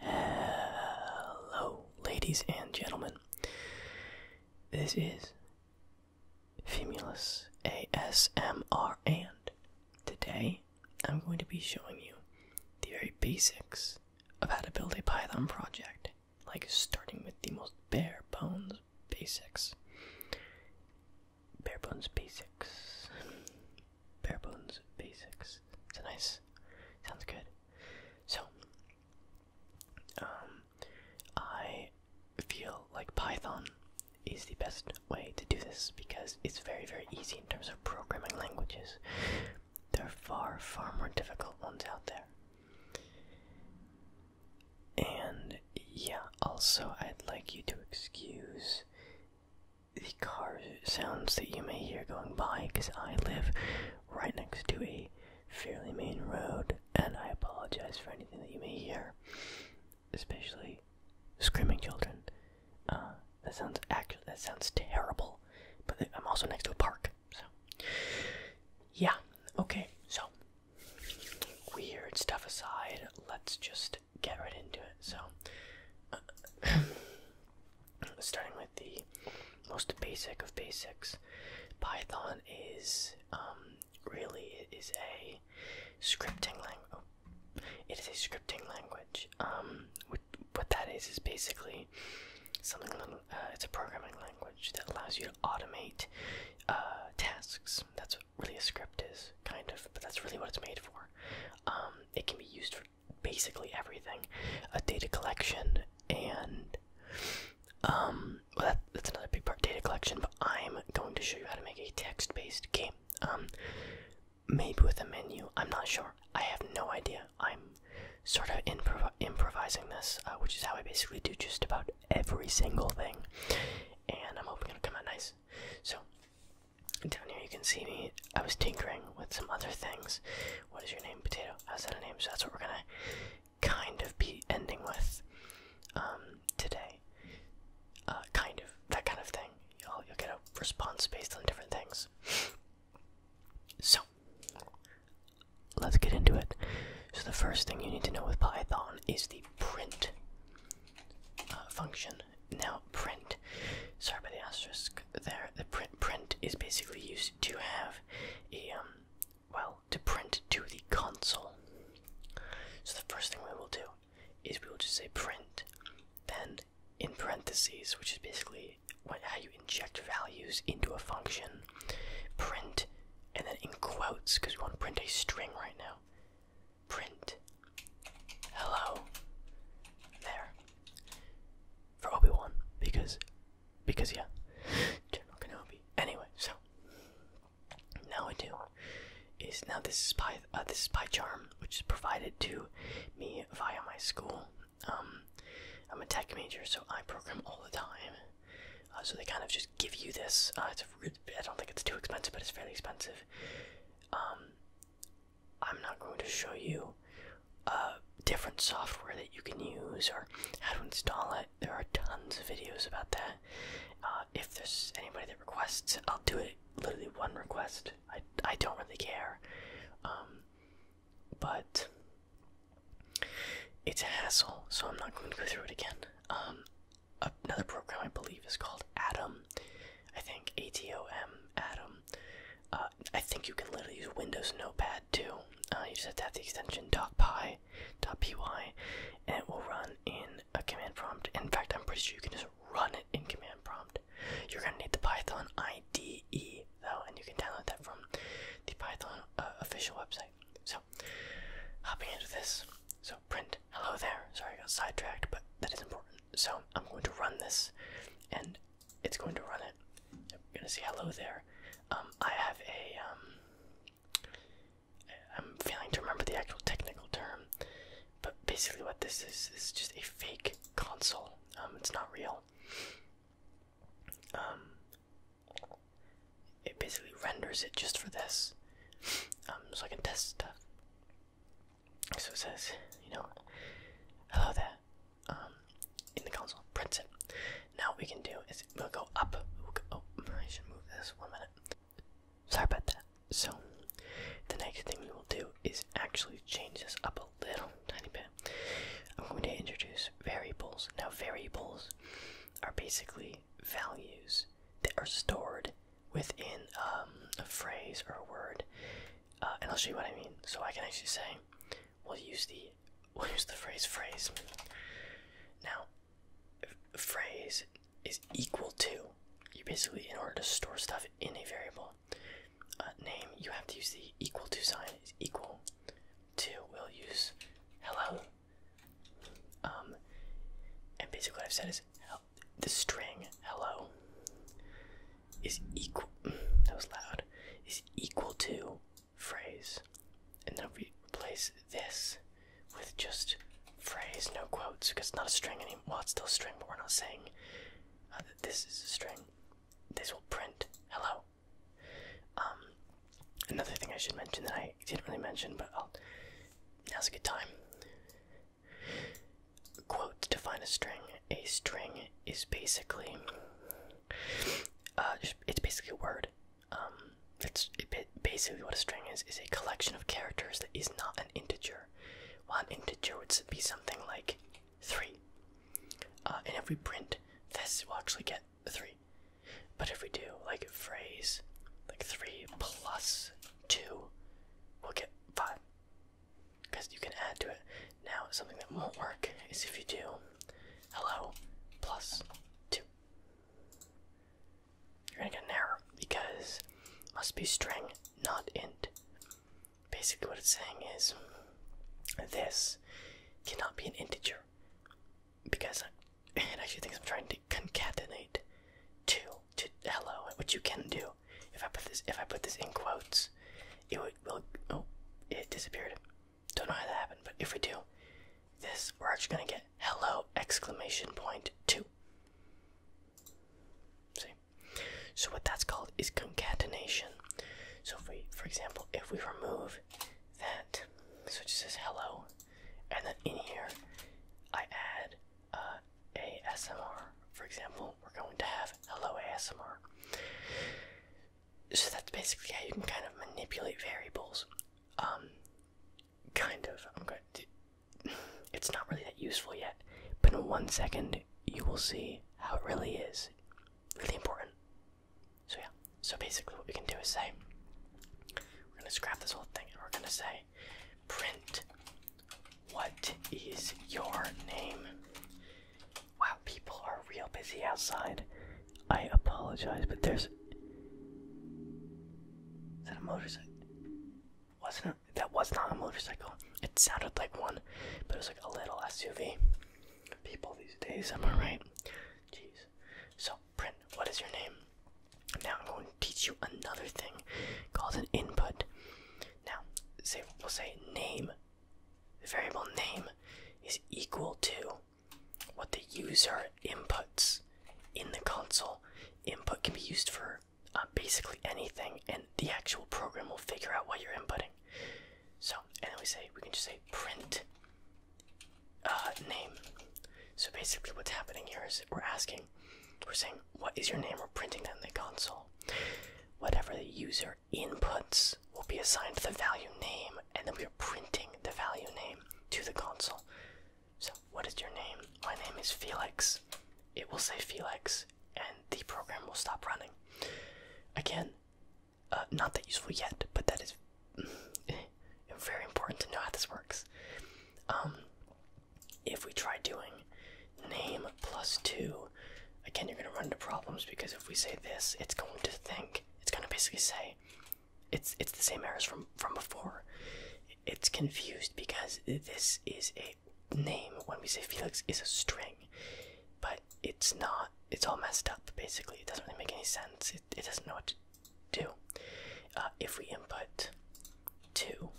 Hello, ladies and gentlemen. This is Femulus ASMR, and today I'm going to be showing you the very basics of how to build a Python project, like starting with the most bare bones basics. Bare bones basics bare bones basics. It's a nice. Sounds good. So, um, I feel like Python is the best way to do this because it's very, very easy in terms of programming languages. There are far, far more difficult ones out there. And yeah, also, I'd like you to excuse the car sounds that you may hear going by because I live right next to a fairly main road, and I apologize for anything that you may hear, especially screaming children. Uh, that sounds actually that sounds terrible, but I'm also next to a park, so yeah. Okay, so weird stuff aside, let's just get right into it. So. Uh, starting with the most basic of basics python is um, really is a scripting language oh, it is a scripting language um, what, that is is basically something uh, it's a programming language that allows you to automate uh, tasks that's what really a script is kind of but that's really what it's made for um, it can be used for basically everything a data collection and um well that, that's another big part data collection but i'm going to show you how to make a text-based game um maybe with a menu i'm not sure i have no idea i'm sort of improv improvising this uh, which is how i basically do just about every single thing and i'm hoping it'll come out nice so down here you can see me. I was tinkering with some other things. What is your name? Potato. How's that a name? So that's what we're gonna kind of be ending with um, today. Uh, kind of. That kind of thing. You'll, you'll get a response based on different things. so, let's get into it. So, the first thing you need to know with Python is the print uh, function. Now, print Sorry about the asterisk there. The print print is basically used to have a um, well to print to the console. So the first thing we will do is we will just say print, then in parentheses, which is basically what, how you inject values into a function, print, and then in quotes because we want to print a string right now. Print hello there for Obi Wan because because yeah, General Kenobi. Anyway, so now what I do is now this is by uh, this is by charm which is provided to me via my school. Um, I'm a tech major, so I program all the time. Uh, so they kind of just give you this. Uh, it's I I don't think it's too expensive, but it's fairly expensive. Um, I'm not going to show you uh, different software that you can use or how to install it. There are tons of videos about that. Uh, if there's anybody that requests it, I'll do it literally one request. I, I don't really care. Um, but it's a hassle, so I'm not going to go through it again. Um, another program I believe is called Atom. I think ATOM Adam. Uh, I think you can literally use Windows Notepad too. Uh, you just have to have the extension .py, .py, and it will run in a command prompt. In fact, I'm pretty sure you can just run it in command prompt. You're gonna need the Python IDE though, and you can download that from the Python uh, official website. So, hopping into this. So print hello there. Sorry, I got sidetracked, but that is important. So I'm going to run this, and it's going to run it. I'm gonna say hello there. Um, I have a. am um, failing to remember the actual technical term, but basically what this is is just a fake console. Um, it's not real. it basically renders it just for this, so I can test stuff. So it says, you know, hello there. Um, in the console, print it. Now what we can do is we'll go up. oh, I should move this one minute. Sorry about that. So the next thing we will do is actually change this up a little tiny bit. I'm going to introduce variables. Now variables are basically values that are stored within um, a phrase or a word uh, and I'll show you what I mean. So I can actually say, we'll use the we'll use the phrase phrase. Now, phrase is equal to. You basically, in order to store stuff in a variable uh, name, you have to use the equal to sign. Is equal to. We'll use hello. Um, and basically, what I've said is the string hello is equal that was loud is equal to phrase and then we replace this with just phrase no quotes because it's not a string anymore well it's still a string but we're not saying uh, that this is a string this will print hello um another thing i should mention that i didn't really mention but oh, now's a good time quote to define a string. A string is basically, uh, it's basically a word. Um, it's basically what a string is is a collection of characters that is not an integer. One integer would be something like three. Uh, and if we print this, we'll actually get three. But if we do like phrase, like three plus two, we'll get five because you can add to it. Now, something that won't work is if you do hello plus two. You're gonna get an error because must be string, not int. Basically, what it's saying is this cannot be an integer because it actually thinks I'm trying to concatenate two to hello, which you can do. If I put this, if I put this in quotes, it would. Well, oh, it disappeared. Don't know how that happened, but if we do this, we're actually gonna get "Hello!" exclamation point two. See, so what that's called is concatenation. So if we, for example, if we remove that, so it just says "Hello," and then in here, I add uh, a SMR, for example we're going to have Hello ASMR. So that's basically how you can kind of manipulate variables. Um, kind of. I'm going to. It's not really that useful yet, but in one second you will see how it really is. Really important. So yeah. So basically, what we can do is say we're going to scrap this whole thing, and we're going to say print what is your name? Wow, people are real busy outside. I apologize, but there's. Is that a motorcycle? Wasn't That was not a motorcycle. It sounded like one, but it was like a little SUV. People these days, am I right? Jeez. So, Print, what is your name? Now I'm going to teach you another thing called an input. Now, say we'll say name the variable name is equal to what the user inputs in the console. Input can be used for uh, basically anything, and the actual program will figure out what you're inputting. So, and then we say we can just say print uh, name. So basically, what's happening here is we're asking, we're saying, what is your name? We're printing that in the console. Whatever the user inputs will be assigned the value name, and then we are printing the value name to the console. So, what is your name? My name is Felix. It will say Felix, and the program will stop running. Again, uh, not that useful yet, but that is very important to know how this works. Um, if we try doing name plus two. Again, you're going to run into problems because if we say this, it's going to think, it's going to basically say, it's it's the same errors from from before. It's confused because this is a name when we say Felix is a string, but it's not. It's all messed up. Basically, it doesn't really make any sense. It doesn't know what to do. Uh, if we input two,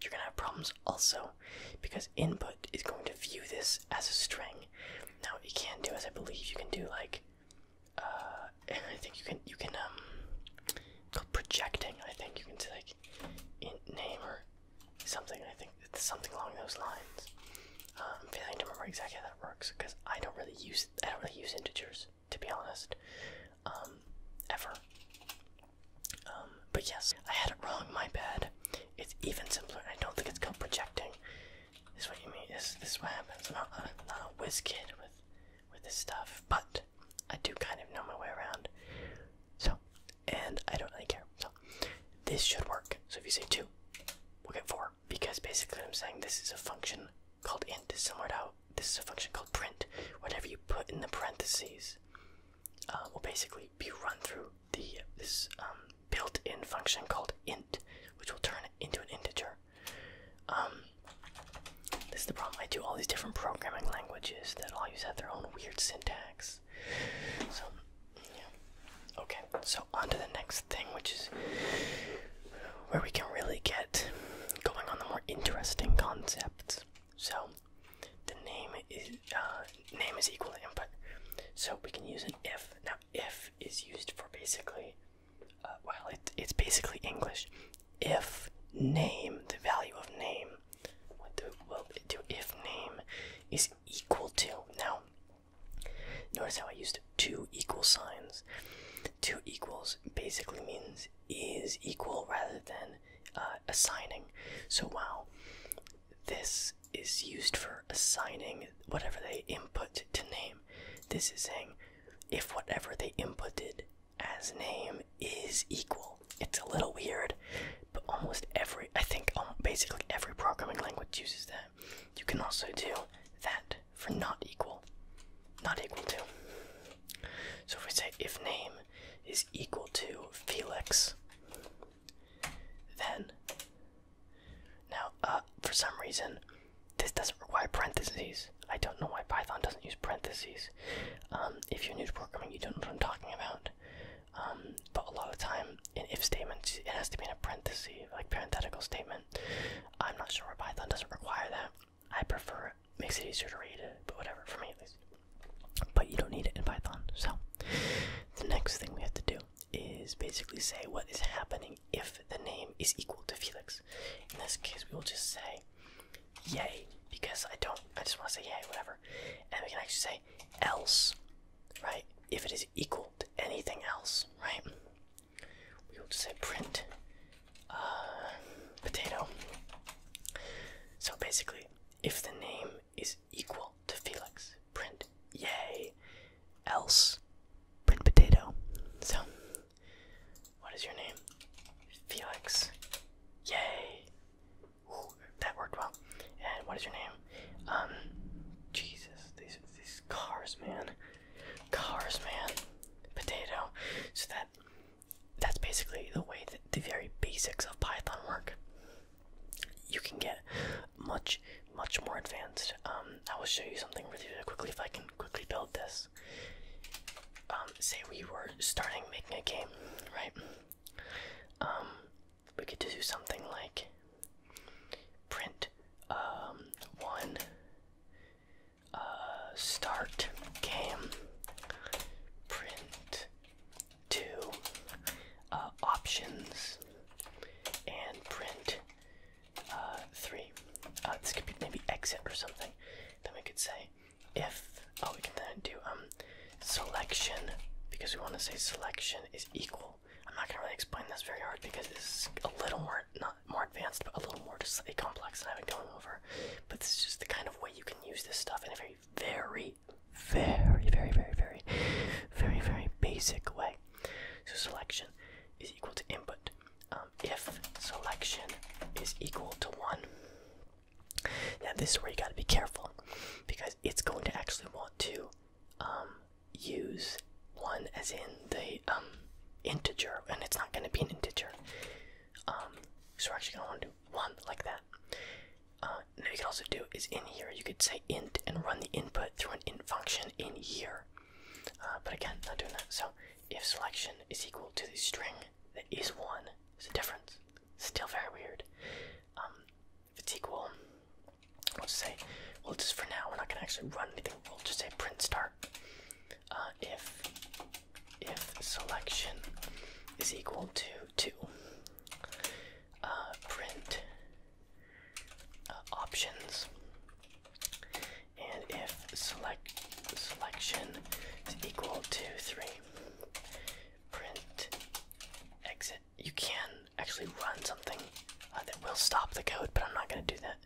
you're gonna have problems also because input is going to view this as a string. Now what you can do is I believe you can do like uh I think you can you can um projecting, I think you can say like int name or something, I think it's something along those lines. Um, I'm failing to remember exactly how that works because I don't really use I don't really use integers to be honest. Um, ever. Um, but yes, I had it wrong, my bad. It's even simpler, I don't think it's called projecting. This is what you mean, this, this is what happens. I'm not a, whiz kid with, with this stuff, but I do kind of know my way around. So, and I don't really care. So, this should work. So if you say 2, we'll get 4. Because basically I'm saying this is a function called int. This is similar out. this is a function called print. Whatever you put in the parentheses uh, will basically be run through the this um, built-in function called int, which will turn it into an integer. Um, this is the problem. I do all these different programming languages that all use have their own weird syntax. So, yeah. Okay, so on to the next thing, which is where we can really get going on the more interesting concepts. So, the name is uh, name is equal to input, so we can use an if. Now, if is used for basically, uh, well, it's basically English. If name, the value of name, what do, will if name is equal to? Now, notice how I used two equal signs. Two equals basically means is equal rather than uh, assigning. So, wow, this is used for assigning whatever they input to name. This is saying if whatever they inputted as name is equal. It's a little weird, but almost every, I think um, basically every programming language uses that. You can also do that for not equal. Not equal to. So if we say if name is equal to Felix, then, now, uh, for some reason, this doesn't require parentheses. I don't know why Python doesn't use parentheses. Um, if you're new to programming, you don't know what I'm talking about. Um, but a lot of time in if statements, it has to be in a parenthesis, like parenthetical statement. I'm not sure why Python doesn't require that. I prefer it. Makes it easier to read it, but whatever for me at least but you don't need it in Python. So the next thing we have to do is basically say what is happening if the name is equal to Felix. In this case, we will just say yay because I don't. I just want to say yay, whatever. And we can actually say else, right? If it is equal to anything else, right? We will just say print uh, potato. So basically, if the name is equal to Felix. Print yay. Else print potato. So what is your name? Felix. Yay. Ooh, that worked well. And what is your name? Um Jesus, these these cars, man. Cars, man. Potato. So that that's basically the way that the very basics of Python work you can get much, much more advanced. Um, I will show you something really, quickly if I can quickly build this. Um, say we were starting making a game, right? Um, we get to do something like print one uh, start game print to uh, options and print uh, three. Uh, this could be maybe exit or something. Then we could say if oh we can then do um selection because we want to say selection is equal. I'm not gonna really explain this very hard because this is a little more not more advanced but a little more just slightly complex than I've been going over. But this is just the kind of way you can use this stuff in a very very very, very, very, very, very, very, basic way. So selection is equal to input. Um, if selection is equal to one, now this is where you got to be careful because it's going to actually want to um, use one as in the um, integer, and it's not going to be an integer. so we're actually going to want to do one like that. Uh, what you can also do is in here you could say int and run the input through an int function in here. Uh, but again, not doing that. So if selection is equal to the string that is one, it's a difference. Still very weird. Um, if it's equal, we'll just say, well, just for now, we're not going to actually run anything. We'll just say print start. Uh, if if selection is equal to two, uh, print uh, options, and if select selection is equal to three, print exit. You can actually run something uh, that will stop the code, but I'm not going to do that.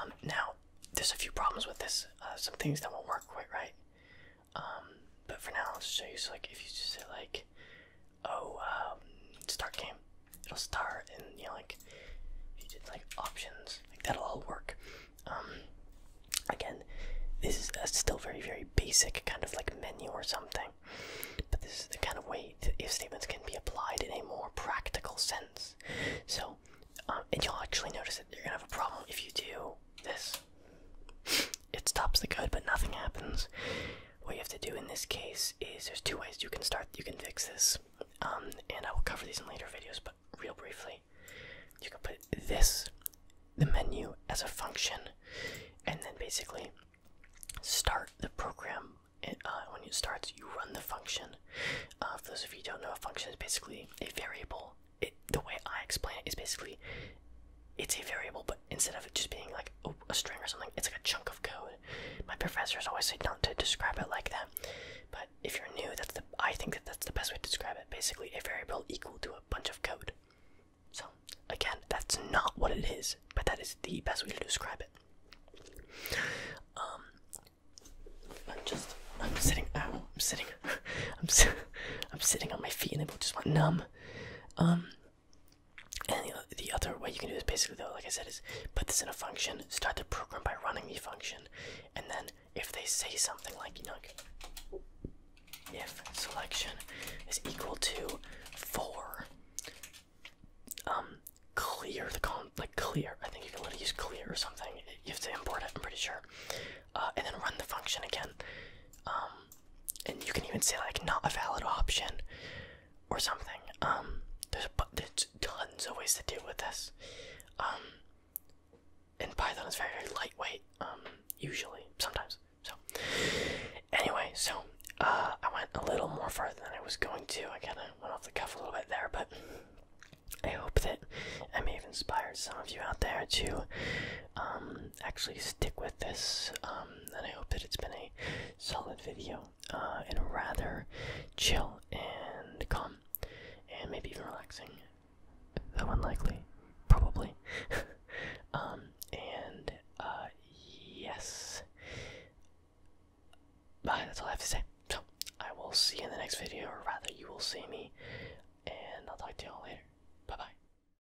Um, now, there's a few problems with this. Uh, some things that won't work quite right. Um, but for now, I'll just show you. So like, if you just say like, oh, um, start game, it'll start, and you know like, if you did like options, like that'll all work. Um, again, this is still very very basic kind of like menu or something, but this is the kind of way if statements can be applied in a more practical sense. So, and you'll actually notice that you're gonna have a problem if you do this. It stops the code, but nothing happens. What you have to do in this case is there's two ways you can start, you can fix this, um, and I will cover these in later videos, but real briefly, you can put this, the menu, as a function, and then basically start the program. And, uh, when it starts, you run the function. Uh, for those of you don't know, a function is basically a variable. the way I explain it is basically it's a variable, but instead of just being like a string or something, it's like a chunk of code. My professors always say not to describe it like that, but if you're new, that's the I think that that's the best way to describe it. Basically, a variable equal to a bunch of code. So again, that's not what it is, but that is the best way to describe it. Um, I'm just I'm sitting ow, I'm sitting I'm I'm sitting on my feet and they both just went numb. Um, and the, other way you can do this basically though, like I said, is put this in a function, start the program by running the function, and then if they say something like, if selection is equal to four, um, clear the con like clear. I think you can literally use clear or something. You have to import it. I'm pretty sure, uh, and then run the function again. Um, and you can even say like not a valid option or something. Um, there's but there's tons of ways to deal with this. Um, and Python is very very lightweight. Um, usually sometimes. So anyway, so uh, I went a little more further than I was going to. I kind of went off the cuff a little bit there, but. I hope that I may have inspired some of you out there to um, actually stick with this, um, and I hope that it's been a solid video uh, and rather chill and calm and maybe even relaxing. Though unlikely, probably. Um, and uh, yes. Bye, that's all I have to say. So, I will see you in the next video, or rather, you will see me, and I'll talk to you all later. Bye bye.